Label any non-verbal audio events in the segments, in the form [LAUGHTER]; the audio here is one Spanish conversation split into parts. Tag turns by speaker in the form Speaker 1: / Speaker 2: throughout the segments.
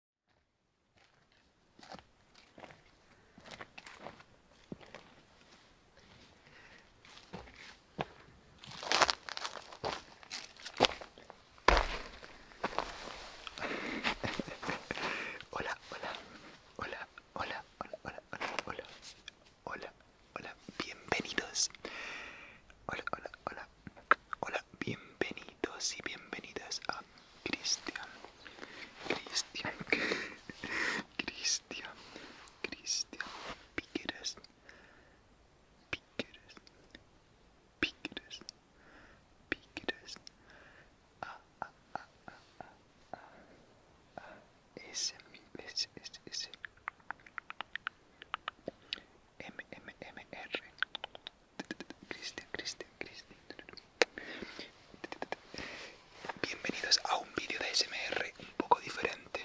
Speaker 1: [LAUGHS] Hola, hola, hola, hola, hola, hola, hola, hola, hola, hola, bienvenidos. Hola, hola, hola, Hola, bienvenidos y bienvenidas a Cristian. Cristian. [LAUGHS] Cristian. Cristian. a, Piqueras. a a a a a a a s M, M, M, R. Bienvenidos a un vídeo de SMR un poco diferente.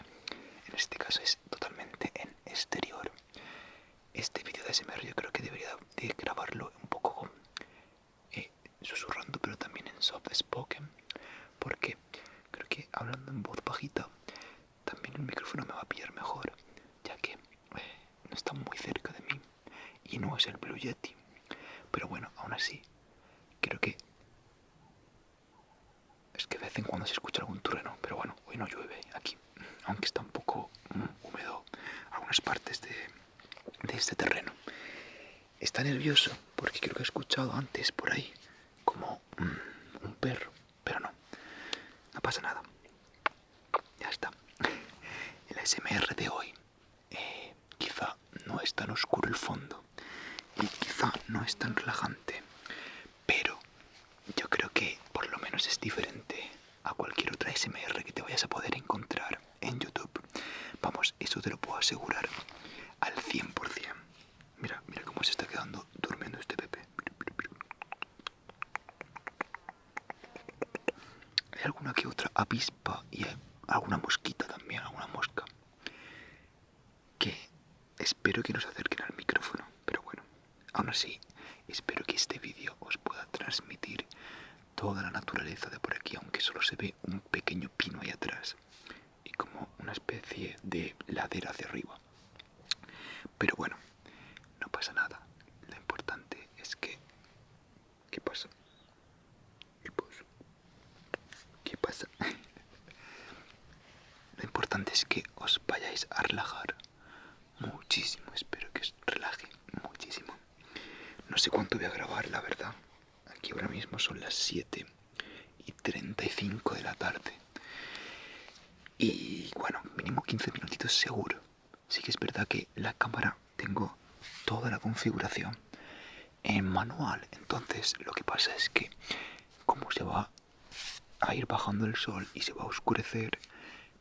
Speaker 1: En este caso es totalmente en exterior. Este vídeo de SMR yo creo que debería grabarlo un poco eh, susurrando, pero también en soft spoken, porque creo que hablando en voz bajita también el micrófono me va a pillar mejor, ya que eh, no está muy cerca de mí y no es el Blue Yeti. Pero bueno, aún así, creo que... Es que de vez en cuando se escucha algún terreno pero bueno, hoy no llueve aquí. Aunque está un poco mm, húmedo algunas partes de, este terreno. Está nervioso porque creo que he escuchado antes por ahí como mm, un perro, pero no, no pasa nada. Ya está. [LAUGHS] El SMR de hoy. Eh, quizá no es tan oscuro el fondo y quizá no es tan relajante, pero yo creo que por lo menos es diferente a cualquier otra SMR que te vayas a poder encontrar en YouTube. Vamos, eso te lo puedo asegurar al 100%. Mira, mira cómo se está quedando durmiendo este Pepe hay alguna que otra avispa y alguna mosquita también, alguna mosca. Que espero que nos acerquen al micrófono, pero bueno, aún así, espero que este vídeo os pueda transmitir toda la naturaleza de por aquí, aunque solo se ve un pequeño pino ahí atrás y como una especie de ladera hacia arriba. Pero bueno, no pasa nada. Lo importante es que... ¿Qué pasa? ¿Qué pasa? pasa? [LAUGHS] Lo importante es que os vayáis a relajar muchísimo. Espero que os relaje muchísimo. No sé cuánto voy a grabar, la verdad. Aquí ahora mismo son las 7 y 35 de la tarde. Y bueno, mínimo 15 minutitos seguro sí que es verdad que la cámara tengo toda la configuración en manual entonces lo que pasa es que como se va a ir bajando el sol y se va a oscurecer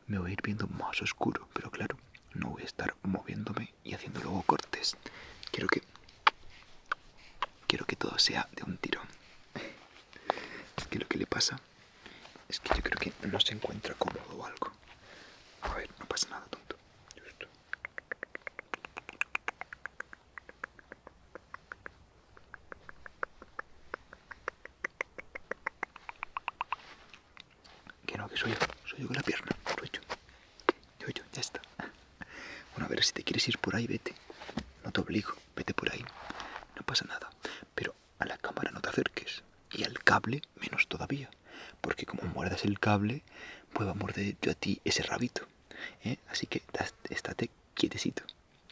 Speaker 1: me voy a ir viendo más oscuro pero claro no voy a estar moviéndome y haciendo luego cortes quiero que quiero que todo sea de un tirón [LAUGHS] es que lo que le pasa es que yo creo que no se encuentra cómodo o algo. A ver, no pasa nada, tonto. Justo. Que no, que soy yo. Soy yo con la pierna. Soy yo. Yo, yo, ya está. Bueno, a ver, si te quieres ir por ahí, vete. No te obligo, vete por ahí. No pasa nada. Pero a la cámara no te acerques. Y al cable menos todavía. Porque como muerdas el cable, pues va a morder yo a ti ese rabito. ¿Eh? Así que estate quietecito.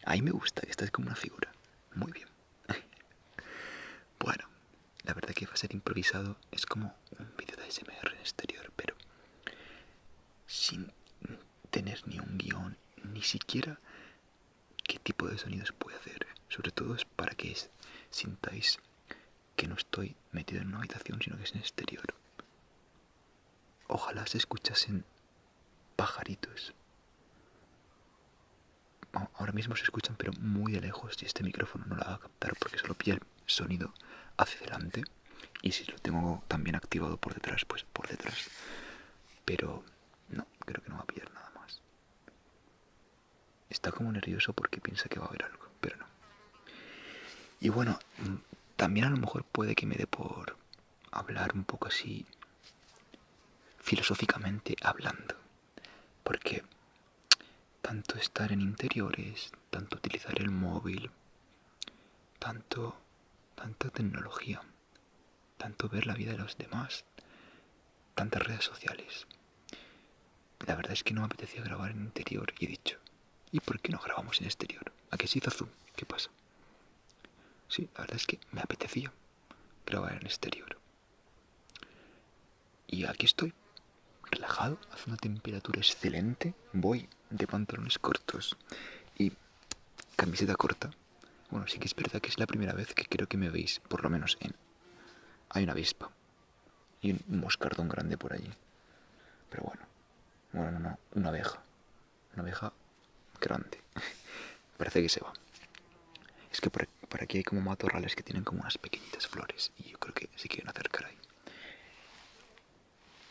Speaker 1: Ahí me gusta, que estás como una figura. Muy bien. [LAUGHS] bueno, la verdad que va a ser improvisado. Es como un vídeo de ASMR en exterior, pero sin tener ni un guión, ni siquiera qué tipo de sonidos puede hacer. Sobre todo es para que sintáis que no estoy metido en una habitación, sino que es en exterior. Ojalá se escuchasen pajaritos. Ahora mismo se escuchan, pero muy de lejos, y este micrófono no lo va a captar porque solo pilla el sonido hacia delante. Y si lo tengo también activado por detrás, pues por detrás. Pero no, creo que no va a pillar nada más. Está como nervioso porque piensa que va a haber algo, pero no. Y bueno, mm, también a lo mejor puede que me dé por hablar un poco así filosóficamente hablando. Porque tanto estar en interiores, tanto utilizar el móvil, tanto tanta tecnología, tanto ver la vida de los demás, tantas redes sociales. La verdad es que no me apetecía grabar en interior y he dicho, ¿y por qué no grabamos en exterior? ¿A qué se hizo zoom? ¿Qué pasa? si la verdad es que me apetecía grabar en exterior. Y aquí estoy, relajado, hace una temperatura excelente, voy de pantalones cortos y camiseta corta, bueno, sí que es verdad que es la primera vez que creo que me veis, por lo menos en... Hay una avispa. Y un moscardón grande por allí. Pero bueno. Bueno, no, una abeja. Una abeja grande. [LAUGHS] Parece que se va. Es que por, por, aquí hay como matorrales que tienen como unas pequeñitas flores. Y yo creo que se quieren acercar ahí.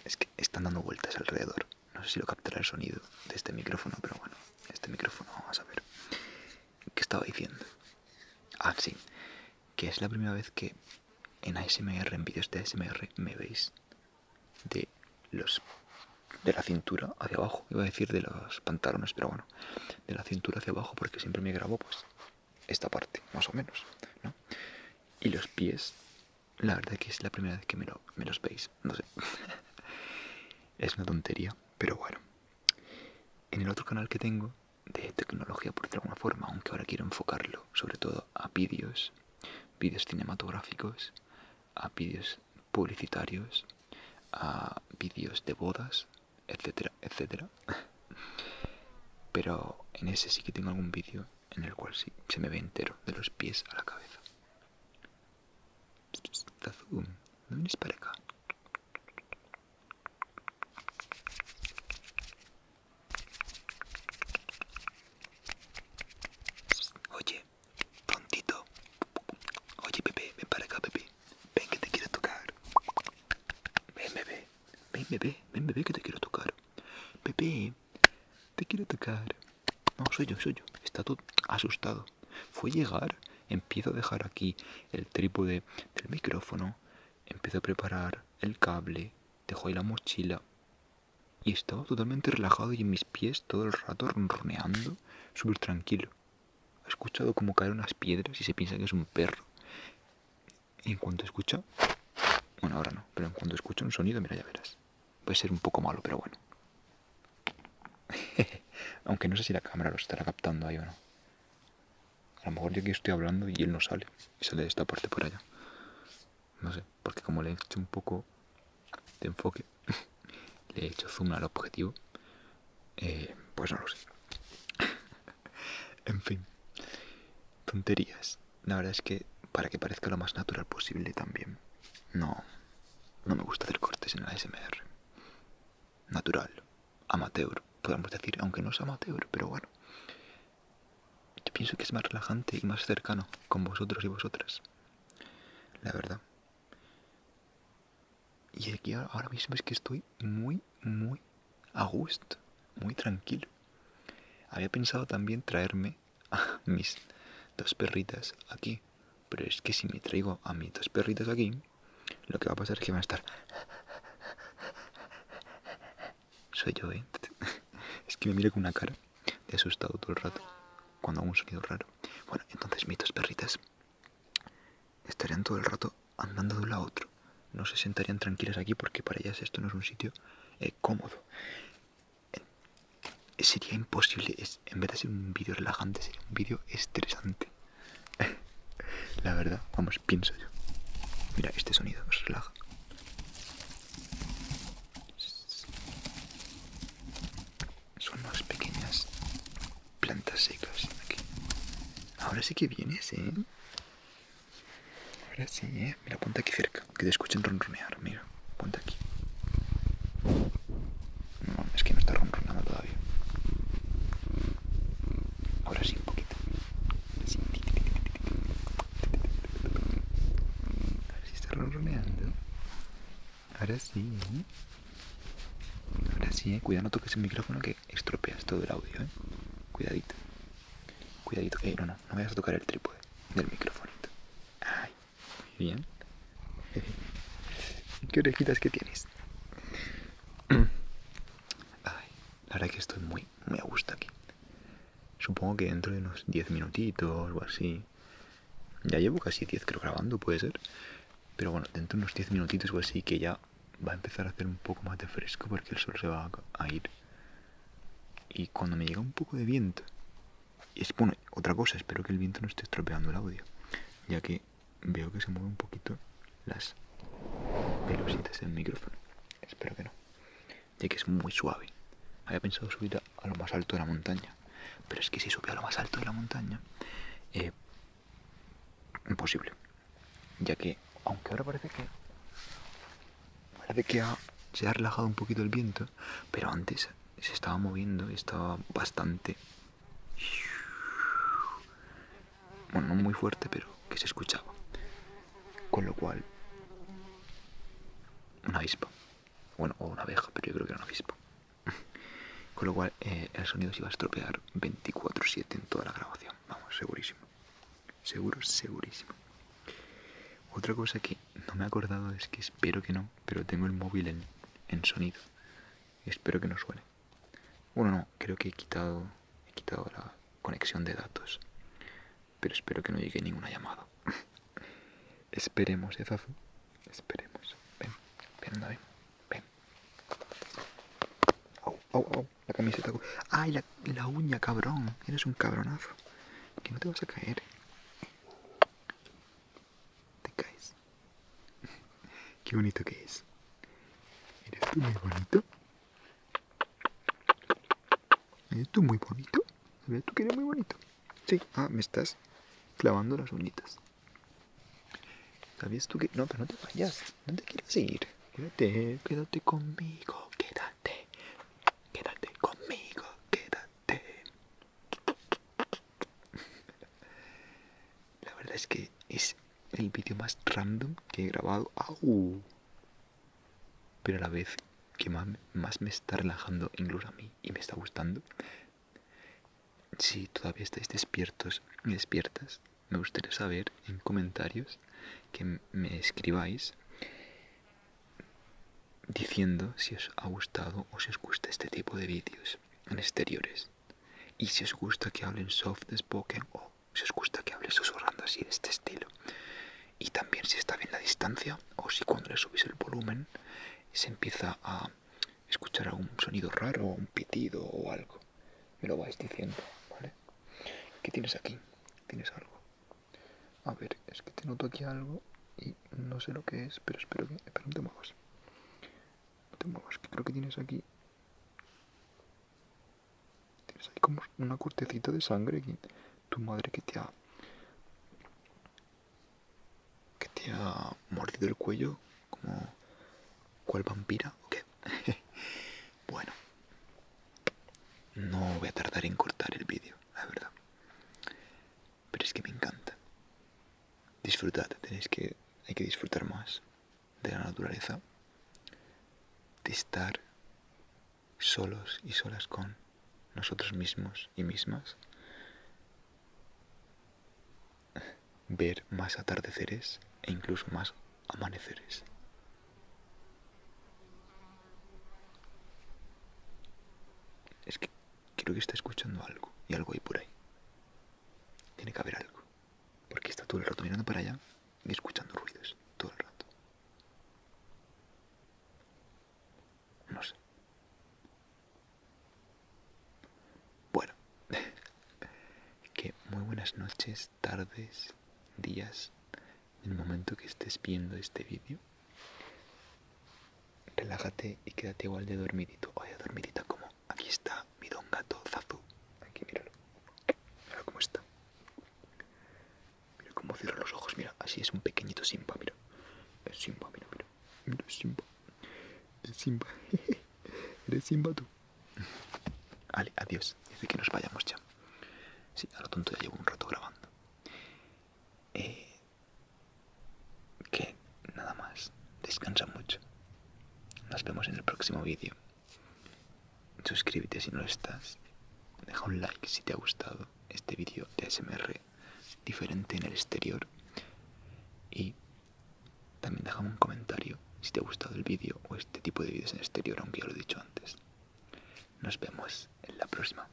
Speaker 1: Es que están dando vueltas alrededor. No sé si lo captará el sonido de este micrófono, pero bueno, este micrófono vamos a ver. ¿Qué estaba diciendo? Ah, sí. Que es la primera vez que en ASMR, en vídeos de ASMR, me veis de los de la cintura hacia abajo. Iba a decir de los pantalones, pero bueno. De la cintura hacia abajo, porque siempre me grabo pues esta parte, más o menos, ¿no? Y los pies, la verdad que es la primera vez que me, me los veis. No sé. [LAUGHS] es una tontería, pero bueno. En el otro canal que tengo de tecnología, por de alguna forma, aunque ahora quiero enfocarlo sobre todo a vídeos, vídeos cinematográficos, a vídeos publicitarios, a vídeos de bodas, etcétera, etcétera. [LAUGHS] Pero en ese sí que tengo algún vídeo en el cual sí se me ve entero, de los pies a la cabeza. Um, ¿dónde vienes para acá? Oye, tontito. Oye, bebé, ven para acá, bebé Ven que te quiero tocar. Ven, bebé. Ven, bebé. Ven, bebé, que te quiero tocar. Bebé te quiero tocar. No, soy yo, soy yo. Está todo asustado. Fue llegar, empiezo a dejar aquí el trípode del micrófono, empiezo a preparar el cable, dejo ahí la mochila y estaba totalmente relajado y en mis pies todo el rato ronroneando, súper tranquilo. He escuchado como caer unas piedras y se piensa que es un perro. Y en cuanto escucha, bueno, ahora no, pero en cuanto escucha un sonido, mira, ya verás. Puede ser un poco malo, pero bueno. [LAUGHS] Aunque no sé si la cámara lo estará captando ahí o no. A lo mejor yo aquí estoy hablando y él no sale. Y sale de esta parte por allá. No sé, porque como le he hecho un poco de enfoque, [LAUGHS] le he hecho zoom al objetivo. Eh, pues no lo sé. [LAUGHS] en fin. Tonterías. La verdad es que para que parezca lo más natural posible también. No. No me gusta hacer cortes en la SMR natural, amateur, podemos decir, aunque no es amateur, pero bueno. Yo pienso que es más relajante y más cercano con vosotros y vosotras. La verdad. Y aquí ahora mismo es que estoy muy, muy a gusto, muy tranquilo. Había pensado también traerme a mis dos perritas aquí. Pero es que si me traigo a mis dos perritas aquí, lo que va a pasar es que va a estar... Soy yo, ¿eh? [LAUGHS] Es que me mira con una cara de asustado todo el rato cuando hago un sonido raro. Bueno, entonces mis dos perritas estarían todo el rato andando de un lado a otro. No se sentarían tranquilas aquí porque para ellas esto no es un sitio eh, cómodo. Eh, sería imposible, en vez de ser un vídeo relajante, sería un vídeo estresante. [LAUGHS] La verdad, vamos, pienso yo. Mira, este sonido nos relaja. Son unas pequeñas plantas secas Ahora sí que vienes, ¿eh? Ahora sí, ¿eh? Mira, ponte aquí cerca, que te escuchen ronronear, mira, ponte aquí. No, es que no está ronronando todavía. Ahora sí, un poquito. Sí. A ver si está ronroneando. Ahora sí. ¿eh? Ahora sí, eh. Cuidado, no toques el micrófono que estropeas todo el audio, eh. Cuidadito. Cuidadito. Eh, no, no, no vayas a tocar el trípode del micrófono Ay, muy bien. Qué orejitas que tienes. [CLEARS THROAT] Ay, la verdad que estoy muy, muy a gusto aquí. Supongo que dentro de unos 10 minutitos o así. Ya llevo casi 10 creo grabando, puede ser. Pero bueno, dentro de unos 10 minutitos o así que ya va a empezar a hacer un poco más de fresco porque el sol se va a ir. Y cuando me llega un poco de viento... Es, bueno, otra cosa, espero que el viento no esté estropeando el audio. Ya que veo que se mueve un poquito las pelusitas del micrófono. Espero que no, ya que es muy suave. Había pensado subir a, lo más alto de la montaña, pero es que si subía a lo más alto de la montaña, eh, imposible. Ya que, aunque ahora parece que parece que se ha relajado un poquito el viento, pero antes se estaba moviendo y estaba bastante bueno, no muy fuerte, pero que se escuchaba. Con lo cual, una avispa. Bueno, o una abeja, pero yo creo que era una avispa. [LAUGHS] Con lo cual, eh, el sonido se iba a estropear 24-7 en toda la grabación. Vamos, segurísimo. Seguro, segurísimo. Otra cosa que no me he acordado es que espero que no, pero tengo el móvil en sonido. Espero que no suene. Bueno, no, creo que he quitado, he quitado la conexión de datos. Pero espero que no llegue ninguna llamada. [LAUGHS] Esperemos, ¿eh, Esperemos. Ven, ven, anda, ven. Ven. La camiseta. ¡Ay, la, la uña, cabrón! Eres un cabronazo. Que no te vas a caer te caes. [LAUGHS] Qué bonito que es. Eres tú muy bonito. Eres tú muy bonito. Sabías tú que eres muy bonito. Sí, ah, me estás clavando las uñitas. ¿Sabías tú que.? No, pero no te vayas. No te quieres ir. Quédate, quédate conmigo. Quédate. Quédate conmigo. Quédate. La verdad es que es el vídeo más random que he grabado. Pero a la vez que más, me está relajando incluso a mí y me está gustando. Si todavía estáis despiertos y despiertas, me gustaría saber en comentarios que me escribáis diciendo si os ha gustado o si os gusta este tipo de vídeos en exteriores. Y si os gusta que hablen soft spoken o si os gusta que hable susurrando así de este estilo. Y también si está bien la distancia o si cuando le subís el volumen se empieza a escuchar algún sonido raro o un pitido o algo. Me lo vais diciendo, ¿vale? ¿Qué tienes aquí? ¿Tienes algo? A ver, es que te noto aquí algo y no sé lo que es, pero espero que... me no te muevas, que creo que tienes aquí. Tienes ahí como una cortecita de sangre Tu madre que te ha. que te ha mordido el cuello. Como. cual vampira? ¿O [LAUGHS] bueno. No voy a tardar en cortar el vídeo, la verdad. Pero es que me encanta. Disfrutad, tenéis que, hay que disfrutar más de la naturaleza, de estar solos y solas con nosotros mismos y mismas, ver más atardeceres e incluso más amaneceres. Es que creo que está escuchando algo y algo hay por ahí. Tiene que haber algo. Porque está todo el rato mirando para allá y escuchando ruidos. Todo el rato. No sé. Bueno. [LAUGHS] que muy buenas noches, tardes, días. En el momento que estés viendo este vídeo. Relájate y quédate igual de dormidito. Oye, dormidita como aquí está mi don gato Zazu. Aquí, míralo. Mira cómo está. Mira cómo cierra los ojos, mira. Así es un pequeñito Simba, mira. Es Simba, mira, mira. Mira, es Simba. Es Simba. [LAUGHS] Eres Simba tú. Vale, adiós. Desde que nos vayamos ya. Sí, a lo tonto ya llevo un rato grabando. Eh, que nada más, descansa mucho. Nos vemos en el próximo vídeo. Suscríbete si no lo estás. Deja un like si te ha gustado este vídeo de SMR diferente en el exterior. Y también déjame un comentario si te ha gustado el vídeo o este tipo de vídeos en el exterior, aunque ya lo he dicho antes. Nos vemos en la próxima.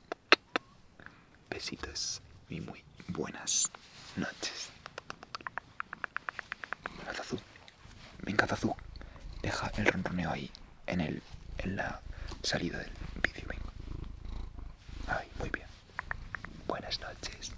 Speaker 1: Besitos y muy buenas noches. Venga, Deja el ronroneo ahí en, el, en la salida del vídeo. Venga. Ay, muy bien. Buenas noches.